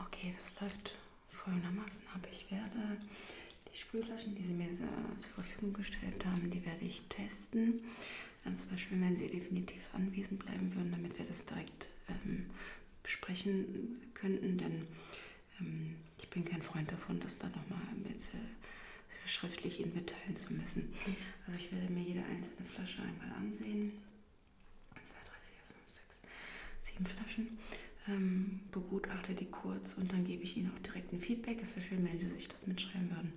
Okay, das läuft folgendermaßen ab. Ich werde die Sprühflaschen, die Sie mir äh, zur Verfügung gestellt haben, die werde ich testen. Ähm, zum Beispiel, wenn Sie definitiv anwesend bleiben würden, damit wir das direkt ähm, besprechen könnten, denn ähm, ich bin kein Freund davon, das dann nochmal mit äh, schriftlich Ihnen mitteilen zu müssen. Also ich werde mir jede einzelne Flasche einmal ansehen 1, 2, 3, 4, 5, 6, 7 Flaschen. Ähm, begutachte die kurz und dann gebe ich Ihnen auch direkt ein Feedback. Es wäre schön, wenn Sie sich das mitschreiben würden.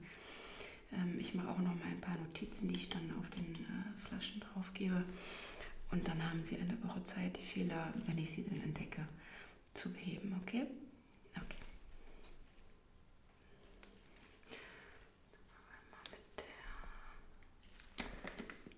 Ähm, ich mache auch noch mal ein paar Notizen, die ich dann auf den äh, Flaschen drauf gebe. Und dann haben Sie eine Woche Zeit, die Fehler, wenn ich sie dann entdecke, zu beheben. Okay? Okay. Mit der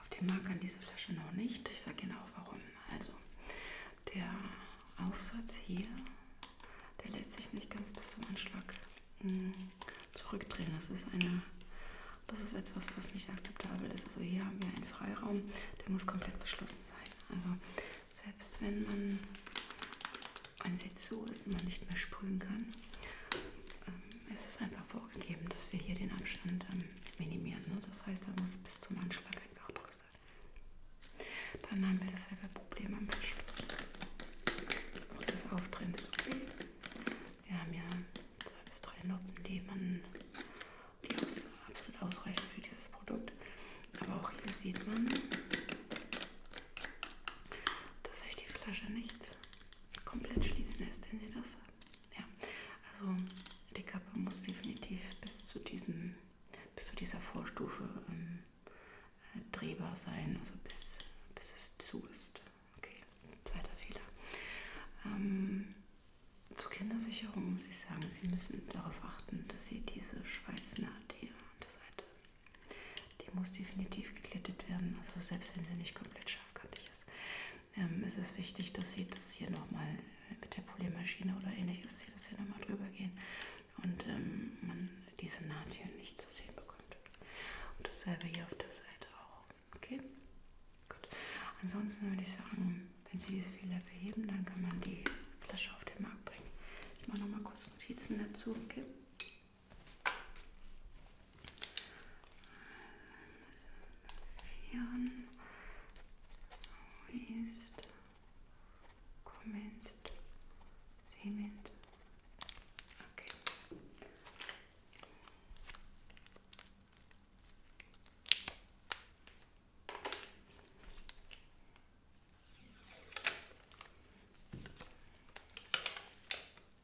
Auf dem Markt kann diese Flasche noch nicht. Ich sage Ihnen auch warum. Also, der Aufsatz hier, der lässt sich nicht ganz bis zum Anschlag mh, hm, zurückdrehen. Das ist eine. Das ist etwas, was nicht akzeptabel ist. Also hier haben wir einen Freiraum, der muss komplett verschlossen sein. Also selbst wenn man ein Sitz so ist und man nicht mehr sprühen kann, ähm, es ist einfach vorgegeben, dass wir hier den Abstand ähm, minimieren. Ne? Das heißt, da muss bis zum Anschlag ein Nachdruck sein. Dann haben wir dasselbe Problem am Verschluss. Also das Auftrennen ist okay. Wir haben ja zwei bis drei Noppen, die man die aus, absolut ausreichen für dieses Produkt. Aber auch hier sieht man, dass ich die Flasche nicht komplett schließen lässt, wenn sie das. Ja, also die Kappe muss definitiv bis zu diesem, bis zu dieser Vorstufe ähm, äh, drehbar sein, also bis, bis es zu ist. Okay, zweiter Fehler. Ähm, zur Kindersicherung muss ich sagen, Sie müssen darauf achten, dass Sie diese Schweißnaht hier an der Seite, die muss definitiv geglättet werden, also selbst wenn sie nicht komplett scharfkantig ähm, ist, ähm, ist es wichtig, dass Sie das hier nochmal äh, mit der Poliermaschine oder ähnliches, Sie das hier nochmal drüber gehen und ähm, man diese Naht hier nicht zu sehen bekommt. Und dasselbe hier auf der Seite auch. Okay? Gut. Ansonsten würde ich sagen, wenn Sie diese Fehler beheben, dann kann man die Flasche auf den Markt bringen. Ich mache nochmal kurz Notizen dazu, okay? Vieren. So ist. Commenced. Cement. Okay.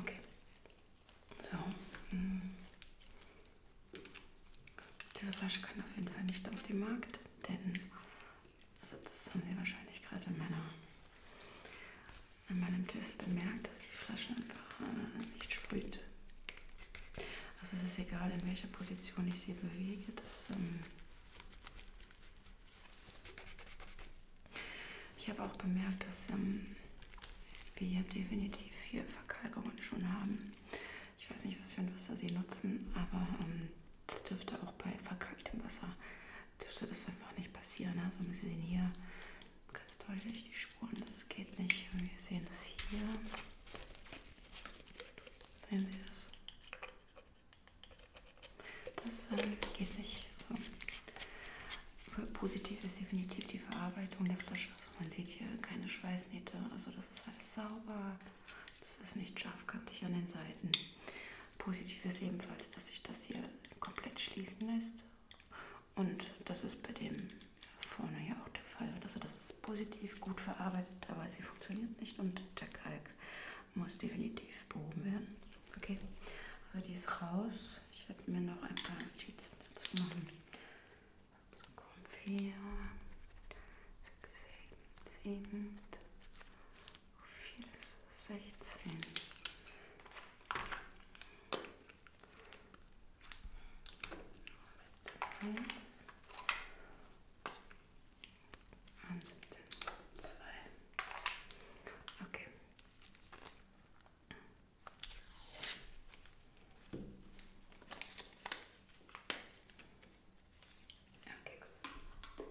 Okay. So. Hm. Diese Flasche kann auf jeden Fall nicht auf den Markt, denn also das haben Sie wahrscheinlich gerade in, meiner, in meinem Test bemerkt, dass die Flasche einfach äh, nicht sprüht. Also es ist egal, in welcher Position ich sie bewege. Das, ähm ich habe auch bemerkt, dass ähm, wir definitiv hier Verkalkungen schon haben. Ich weiß nicht, was für ein Wasser Sie nutzen, aber ähm, das dürfte auch bei verkalktem Wasser dürfte das einfach nicht passieren. Ne? Also wir sehen hier ganz deutlich die Spuren, das geht nicht. Wir sehen es hier. Sehen Sie das? Das äh, geht nicht. So. Also, positiv ist definitiv die Verarbeitung der Flasche. Also man sieht hier keine Schweißnähte, also das ist alles sauber. Das ist nicht scharfkantig an den Seiten. Positiv ist ebenfalls, dass sich das hier komplett schließen lässt. Und das ist bei dem vorne ja auch der Fall. Also das ist positiv, gut verarbeitet, aber sie funktioniert nicht und der Kalk muss definitiv behoben werden. Okay, also die ist raus. Ich werde mir noch ein paar Notizen dazu machen. So kommen 4, 6, 7, wie viel ist 16? Eins, eins, zwei. Okay. Okay, gut.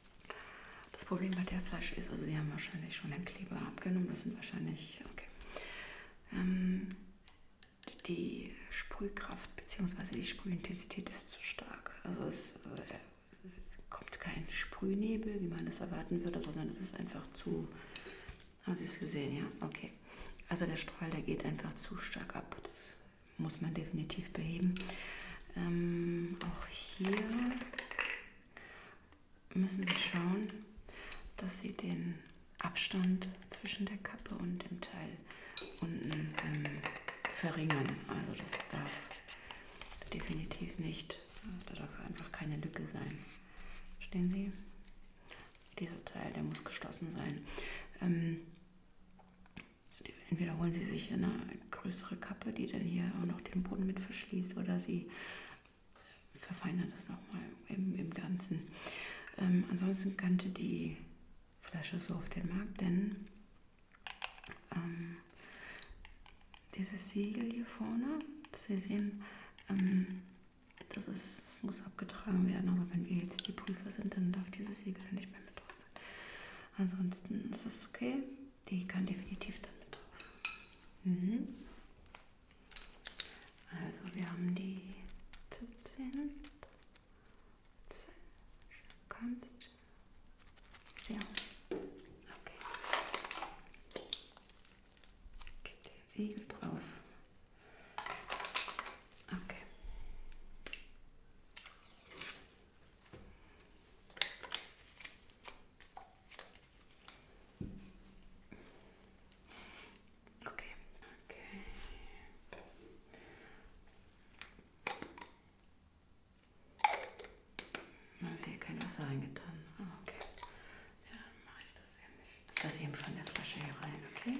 Das Problem bei der Flasche ist, also sie haben wahrscheinlich schon den Kleber abgenommen, das sind wahrscheinlich, okay. Ähm, die Sprühkraft bzw. die Sprühintensität ist zu stark. Also es äh, kommt kein Sprühnebel, wie man es erwarten würde, sondern es ist einfach zu, haben Sie es gesehen, ja? Okay. Also der Strahl, der geht einfach zu stark ab. Das muss man definitiv beheben. Ähm, auch hier müssen Sie schauen, dass Sie den Abstand zwischen der Kappe und dem Teil unten ähm, verringern. Also das darf definitiv nicht, äh, da darf einfach keine Lücke sein. Verstehen Sie? Dieser Teil, der muss geschlossen sein. Ähm, entweder holen Sie sich eine größere Kappe, die dann hier auch noch den Boden mit verschließt, oder Sie verfeinere das nochmal im, im Ganzen. Ähm, ansonsten kannte die Flasche so auf den Markt, denn ähm, dieses Siegel hier vorne, das Sie sehen, ähm, das, ist, das muss abgetragen werden. Also wenn wir jetzt die Prüfer sind, dann darf dieses Siegel nicht mehr mit drauf sein. Ansonsten ist das okay die kann definitiv dann mit drauf. Mhm. Also wir haben die 17. Kannst. Sehr. Okay. Gibt der Siegel drauf. Okay. Okay. Okay. Da ist hier kein Wasser reingetan. Ah, okay. Ja, dann mache ich das hier nicht. Das eben von der Flasche hier rein, okay?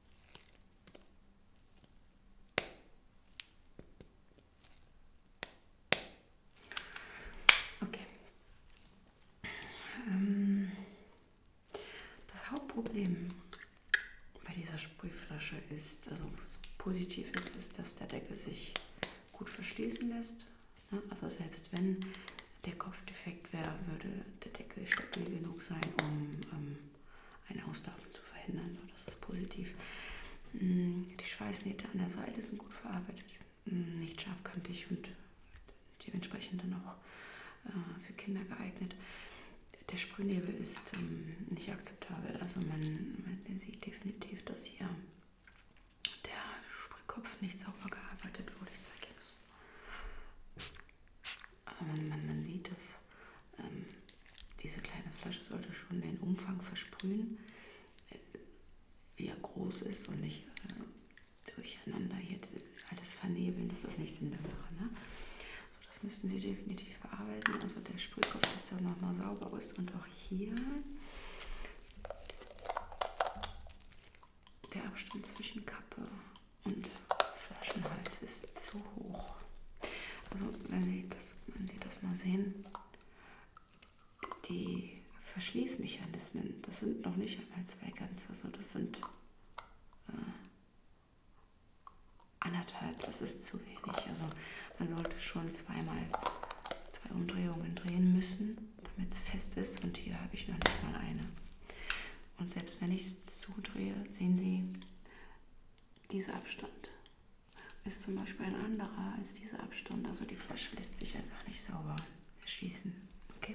Okay. Ähm, das Hauptproblem bei dieser Sprühflasche ist, also was positiv ist, ist, dass der Deckel sich gut verschließen lässt. Also selbst wenn der Kopf defekt wäre, würde der Deckel stabil genug sein, um ähm, ein Auslaufen zu verhindern. So, das ist positiv. Mm, die Schweißnähte an der Seite sind gut verarbeitet, mm, nicht scharfkantig und dementsprechend dann auch äh, für Kinder geeignet. Der Sprühnebel ist ähm, nicht akzeptabel. Also man, man, sieht definitiv, dass hier der Sprühkopf nicht sauber gearbeitet wurde. Ich zeige Ihnen das. Also man, man, man sieht es, ähm, diese kleine Flasche sollte schon den Umfang versprühen, äh, wie er groß ist und nicht äh, durcheinander hier alles vernebeln. Das ist nicht in der Sache. Ne? So, das müssen Sie definitiv bearbeiten. Also der Sprühkopf, dass der nochmal sauber ist und auch hier der Abstand zwischen Kappe und Flaschenhals ist zu hoch. Also, wenn Sie das, wenn Sie das mal sehen, die Verschließmechanismen, das sind noch nicht einmal zwei ganze, also das sind äh, anderthalb, das ist zu wenig. Also man sollte schon zweimal zwei Umdrehungen drehen müssen, damit es fest ist und hier habe ich noch nicht mal eine. Und selbst wenn ich es zudrehe, sehen Sie, dieser Abstand ist zum Beispiel ein anderer als dieser Abstand. Also die Flasche lässt sich einfach nicht sauber schießen. Okay.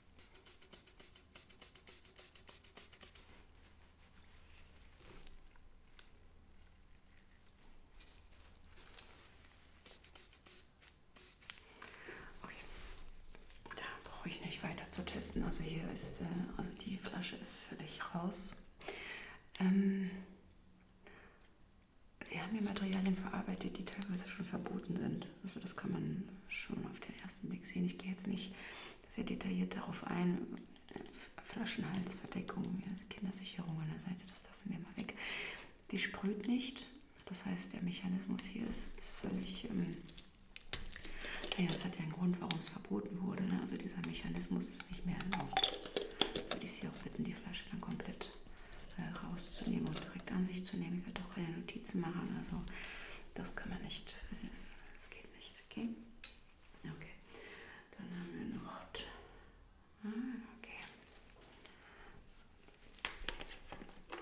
Okay. Da brauche ich nicht weiter zu testen. Also hier ist, äh, also die Flasche ist völlig raus. Ähm, Sie haben hier Materialien verarbeitet, die teilweise schon verboten sind sind. Also das kann man schon auf den ersten Blick sehen. Ich gehe jetzt nicht sehr detailliert darauf ein. Flaschenhalsverdeckung, Kindersicherung an der Seite, das lassen wir mal weg. Die sprüht nicht. Das heißt, der Mechanismus hier ist, ist völlig... Ähm, ja, das hat ja einen Grund, warum es verboten wurde. Ne? Also dieser Mechanismus ist nicht mehr erlaubt. Würde ich Sie auch bitten, die Flasche dann komplett äh, rauszunehmen und direkt an sich zu nehmen. Ich werde auch keine Notizen machen. Also das kann man nicht. Das geht nicht. Okay. Okay. Dann haben wir noch. Ah, okay. So. Okay.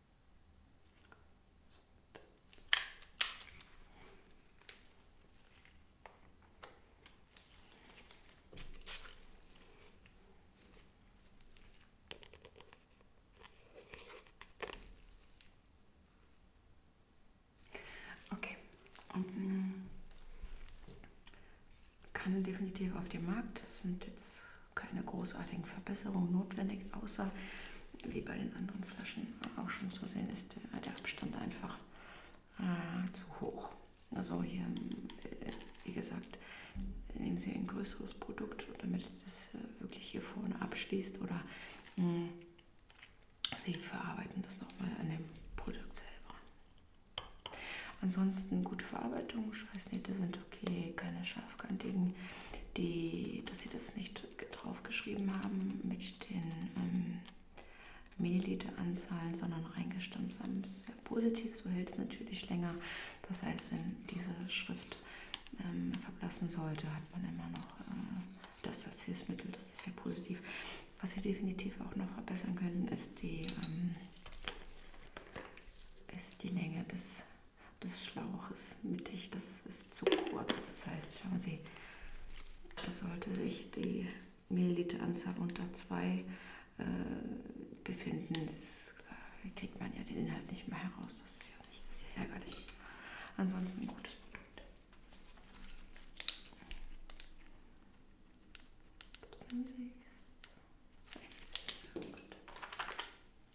Okay. Und, kann definitiv auf den Markt. Das sind jetzt keine großartigen Verbesserungen notwendig, außer wie bei den anderen Flaschen auch schon zu sehen ist der, der Abstand einfach äh, zu hoch. Also hier, äh, wie gesagt, nehmen Sie ein größeres Produkt, damit das äh, wirklich hier vorne abschließt oder mh, hm, Sie verarbeiten das nochmal an dem Produkt selber. Ansonsten gute Verarbeitung, Schweißnähte sind okay, keine Scham scharf könnt gegen die, dass sie das nicht draufgeschrieben haben mit den ähm, Milliliteranzahlen, sondern reingestanzt haben. Das ist sehr positiv, so hält es natürlich länger. Das heißt, wenn diese Schrift ähm, verblassen sollte, hat man immer noch äh, das als Hilfsmittel. Das ist sehr positiv. Was ihr definitiv auch noch verbessern können, ist die, ähm, ist die Länge des das Schlauch ist mittig, das ist zu kurz. Das heißt, schauen Sie, da sollte sich die Milliliteranzahl unter 2 äh, befinden. Das äh, kriegt man ja den Inhalt nicht mehr heraus. Das ist ja nicht, das ist ja ärgerlich. Ansonsten ein gutes Produkt. Sechs. Gut.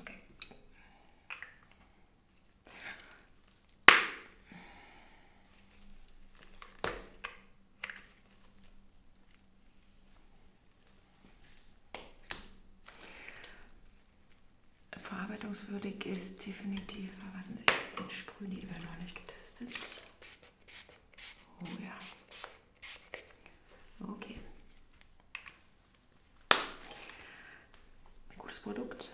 Okay. Verarbeitungswürdig ist definitiv, aber ich sprühe die immer noch nicht getestet. Oh ja. Okay. Ein gutes Produkt.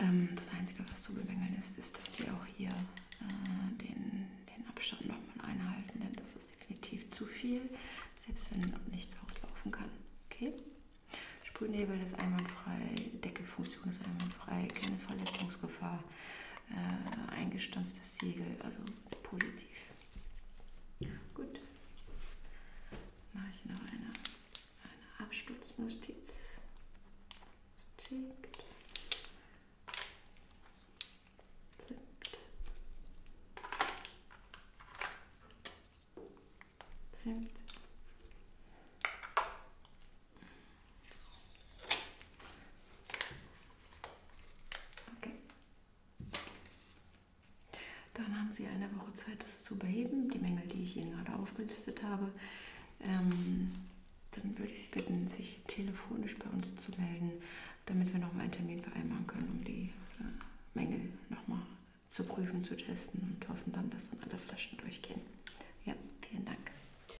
Ähm, das Einzige, was zu bemängeln ist, ist, dass sie auch hier äh, den, den Abstand nochmal einhalten, denn das ist definitiv zu viel, selbst wenn nichts auslaufen kann. Okay? Sprühnebel ist einwandfrei, Deckelfunktion ist einwandfrei, keine Verletzungsgefahr äh, eingestanztes Siegel, also positiv. Gut, mache ich noch eine, eine Absturznotiz. So tickt. Zimt. Zimt. Okay. Dann haben Sie eine Woche Zeit, das zu beheben, die Mängel, die ich Ihnen gerade aufgelistet habe. Ähm, dann würde ich Sie bitten, sich telefonisch bei uns zu melden, damit wir nochmal einen Termin vereinbaren können, um die äh, Mängel nochmal zu prüfen, zu testen und hoffen dann, dass dann alle Flaschen durchgehen. Ja, vielen Dank.